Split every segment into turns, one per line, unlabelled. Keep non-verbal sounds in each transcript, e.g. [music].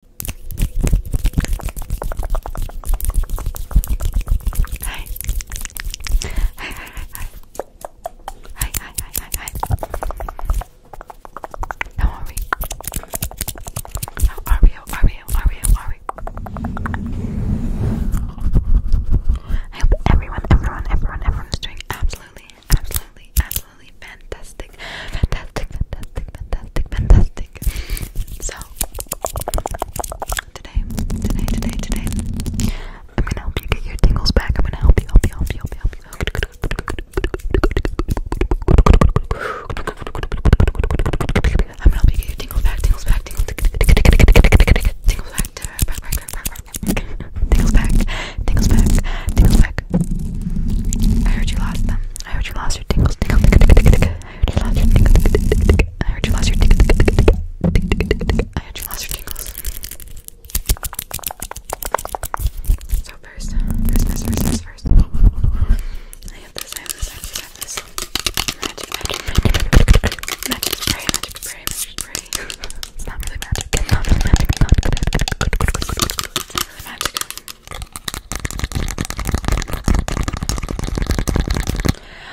How are we? How are we? How are we? How are we? I hope everyone, everyone, everyone, everyone is doing absolutely, absolutely, absolutely fantastic, fantastic, fantastic, fantastic, fantastic. So today, today, today, today, I'm gonna help you get your tingles back. I'm gonna help you, help you, help you, help you, help you. I'm gonna help you get your tingles back, tingles back, tingles, tingles back, back, back, back, back, back, back, tingles back, tingles back, tingles back, I heard you lost them. I heard you lost your tingles. Tingle, tingle, tingle, tingle. I heard you lost your tingle. tingle, tingle. I heard you lost your tingle. I heard you lost your tingles. So first, first, first, first, first, first. I have this. I have this. I have this. I have this. Magic, magic, magic, magic spray, magic spray, magic spray. It's not really magic. It's not really magic. It's not really magic. It's not really magic.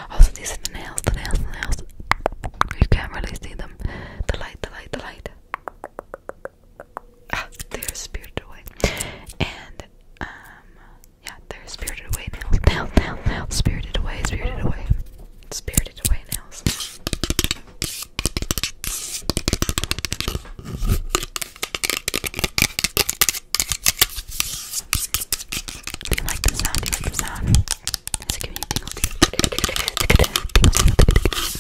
Also, these are the nails, the nails, the nails. can't really see them. The light, the light, the light. Ah, they're spirited away. And, um, yeah, they're spirited away nails. Nails, nails, nails. Spirited away, spirited away. Spirited away nails. Do you like the sound? Do you like the sound? It's giving you tingles, tingles, tingles, tingles.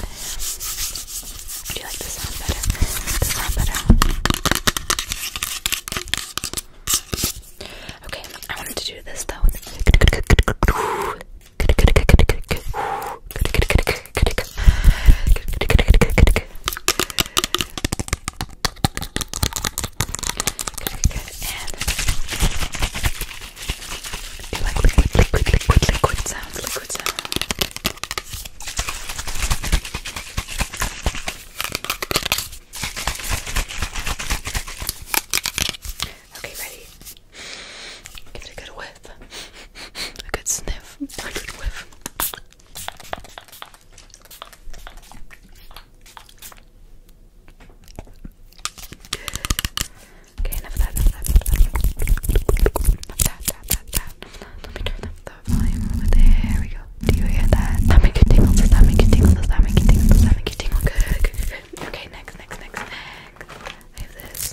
Do you like the sound better? The sound better. Okay, I wanted to do this though you like liquid, liquid, liquid, liquid sounds, liquid sounds. Okay, ready? Give it a good whiff whiff. A good sniff. A good whiff. Okay, enough of that, enough of that, enough of that, Let me turn up the volume a There we go. Do you hear that? That make you tingle, that make you tingle, does that make you tingle, does that make you tingle? Good, Okay, next, next, next, next. I have this.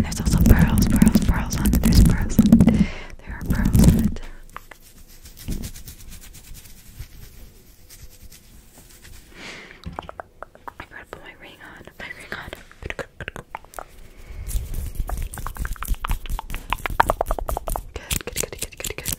there's also pearls, pearls, pearls on it. There's pearls on There are pearls on it. I gotta put my ring on. My ring on. Good, good, good, good, good, good.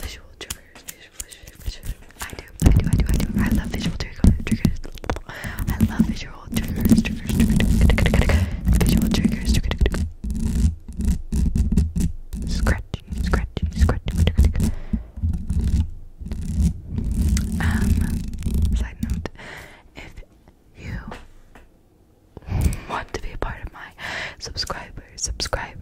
visual triggers. Visual, visual, visual. I do, I do, I do, I do. I love visual trigger, triggers. I love visual triggers, triggers, triggers, visual triggers, triggers. Scratchy, scratchy, scratchy, scratchy. Um, side note, if you want to be a part of my subscriber, subscribe,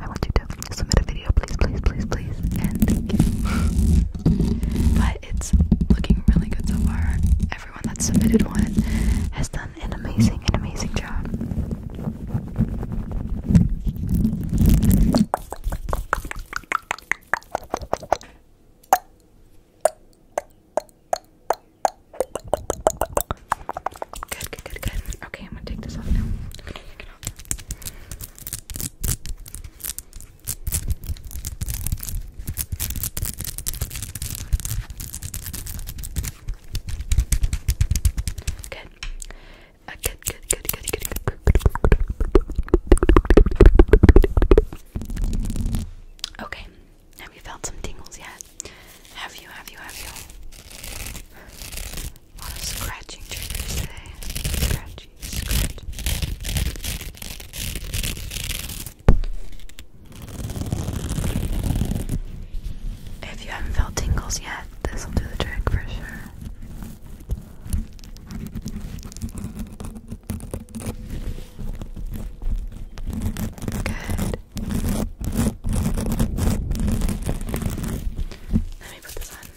I want you to submit a video, please, please, please, please, and thank you. [laughs] but it's looking really good so far. Everyone that submitted one has done an amazing, an amazing job. Good, good, good, good. Okay, I'm gonna take this off now. Good. Uh, good, good, good, good, good, good. Okay. Have you felt some tingles yet? Have you, have you, have you? A lot scratching triggers today. If you haven't felt tingles yet, this will do the trick for sure. Good. Let me put this on.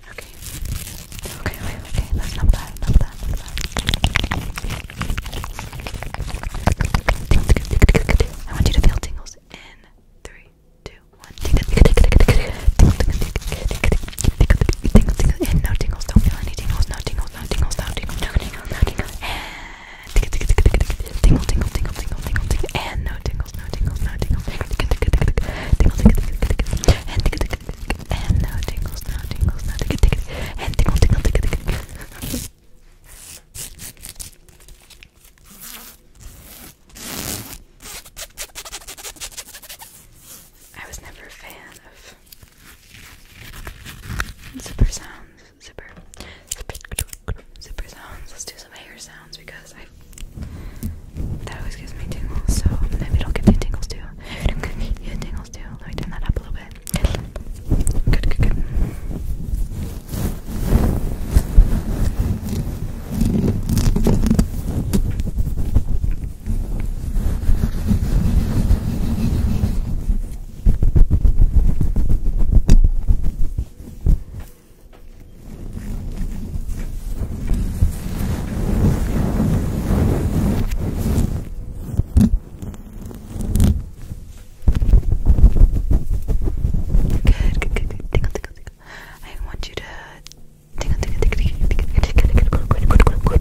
Okay. Okay, okay, okay. That's not bad, not bad, not bad. I want you to feel tingles in three, two, one. Tingle, tingle, and no tingles. Don't feel any tingles. No tingles, no tingles, no tingles, no tingles, no tingles. And tingle, tingle, tingle, tingle, tingle, tingle, tingle, tingle, and no tingles, no tingles, no tingles. Tingle, tingle, tingle, tingle, tingle, and tingle, tingle, tingle, and no tingles, no tingles, no ticket, ticket. And tingle, tingle, ticket, ticket. I was never a fan of zipper sounds, zipper, zipper, zipper sounds. Let's do some hair sounds because I that always gives me tingles. So maybe it'll give me tingles too. You tingles too. Let me turn that up a little bit. Good, good, good. Good, good, good, good. Tingle, tingle, tingle. I want you to tingle, tingle, tingle, tingle, tingle, tingle, tingle, tingle,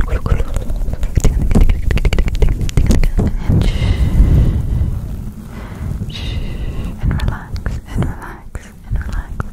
tingle, tingle, and shh, shh, and relax, and relax, and relax,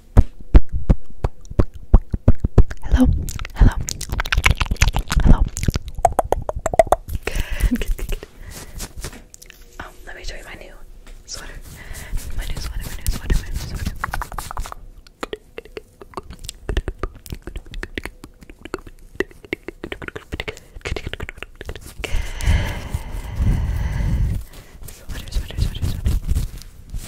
Hello, hello, hello. Good, good, good, good. Um, let me show you my new sweater. My new sweater, my new sweater, my new sweater. Sweater, sweater, sweater, sweater.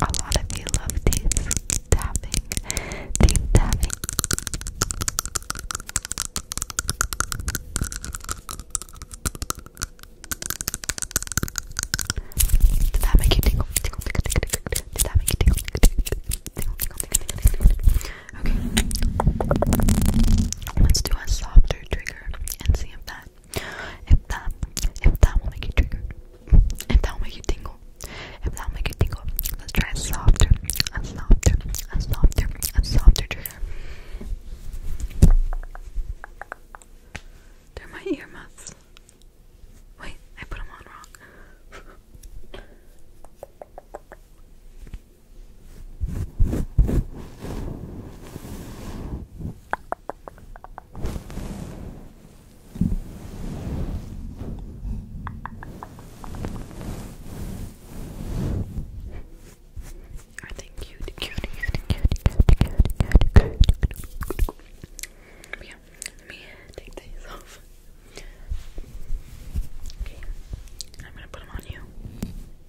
A lot of you love teeth tapping, teeth tapping. Did that make you tingle? Tingle, tingle, tingle, tingle. Did that make you tingle? Tingle, tingle, tingle, tingle, Okay. Let's do a softer trigger and see if that if that, if that will make you triggered, if that will make you tingle, if that will make you tingle, let's try softer, softer, softer, softer trigger. They're my earmuffs. Wait, I put them on wrong. Are they cute? Cute, cute, cute, let me take these off. I'm gonna put them on you.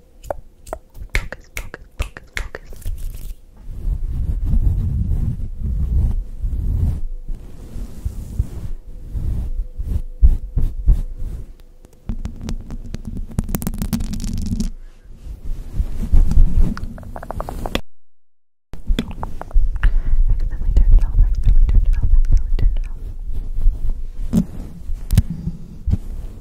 Focus, focus, focus, focus. Accidentally turned it off, accidentally turned it off, accidentally turned it off.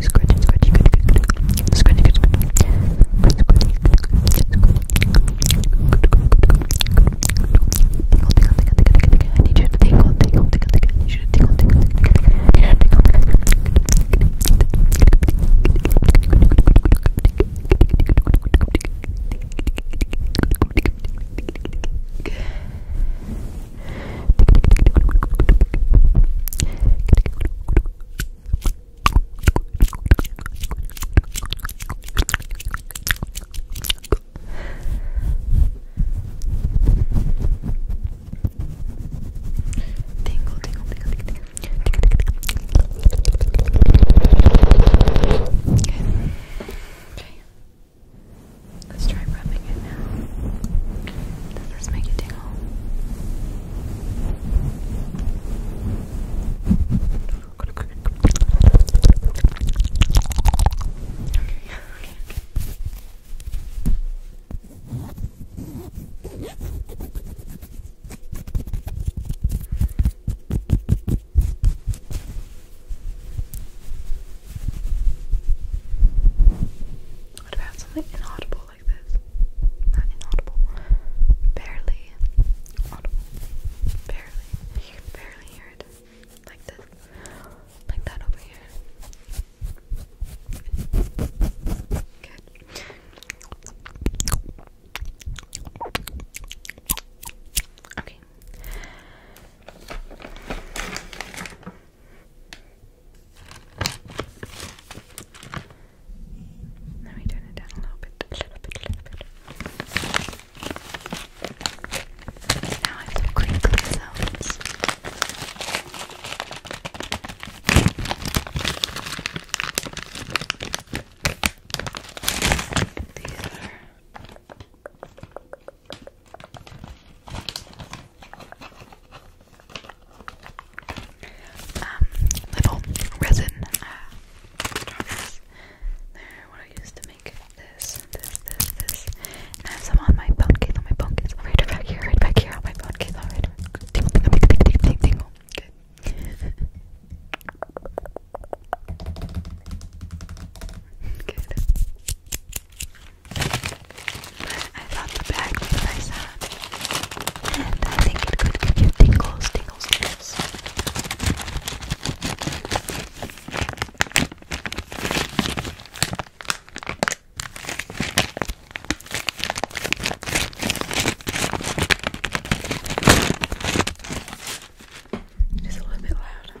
scratching, scratching, scratching, I need you to tingle, tingle, tingle, tingle. I need you to tingle, tingle, tingle. Tingle, tingle, tingle, tingle. Okay. okay. Let's try rubbing it now. Does this make you tingle? Okay, okay, What about something inaudible audible like this. Not inaudible. Barely audible. Barely. You can barely hear it. Like this. Like that over here. Good. Okay. Let me turn it down a little bit, a little bit, a little bit. Now I have some crinkly sounds. These are um, little resin uh, They're what I use to make this, this, this, this. And I have on my phone case, on my phone case. Right back here, right back here, on my phone case. All right. Tingle, tingle, tingle, tingle, tingle. Good. [laughs] Good. I love the bag because I saw And I think it could give you tingles, tingles, tingles. It's a little bit loud.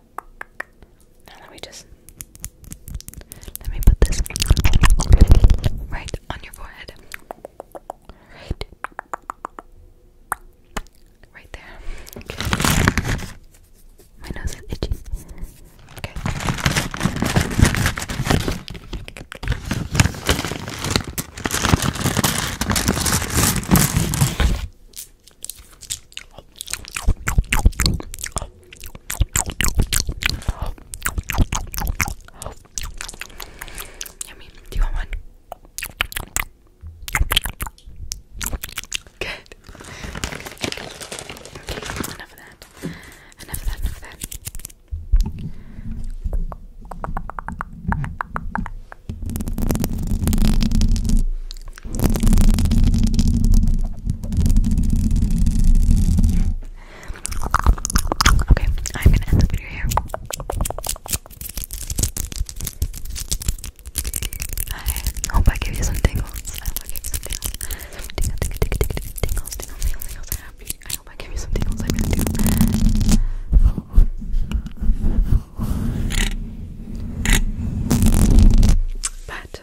Now let me just let me put this right on your forehead. Right. Right there. My nose is itchy. Okay. Yummy. Do you want one? Good. Okay, enough of that. Enough of that, enough of that. Okay, I'm gonna end the video here. I hope I give you some tingles. I hope I give you some tingles. Tingle, tingle, tingle, tingle, tingles, tingles, tingles, tingles. I hope, I give you some tingles. I really do. But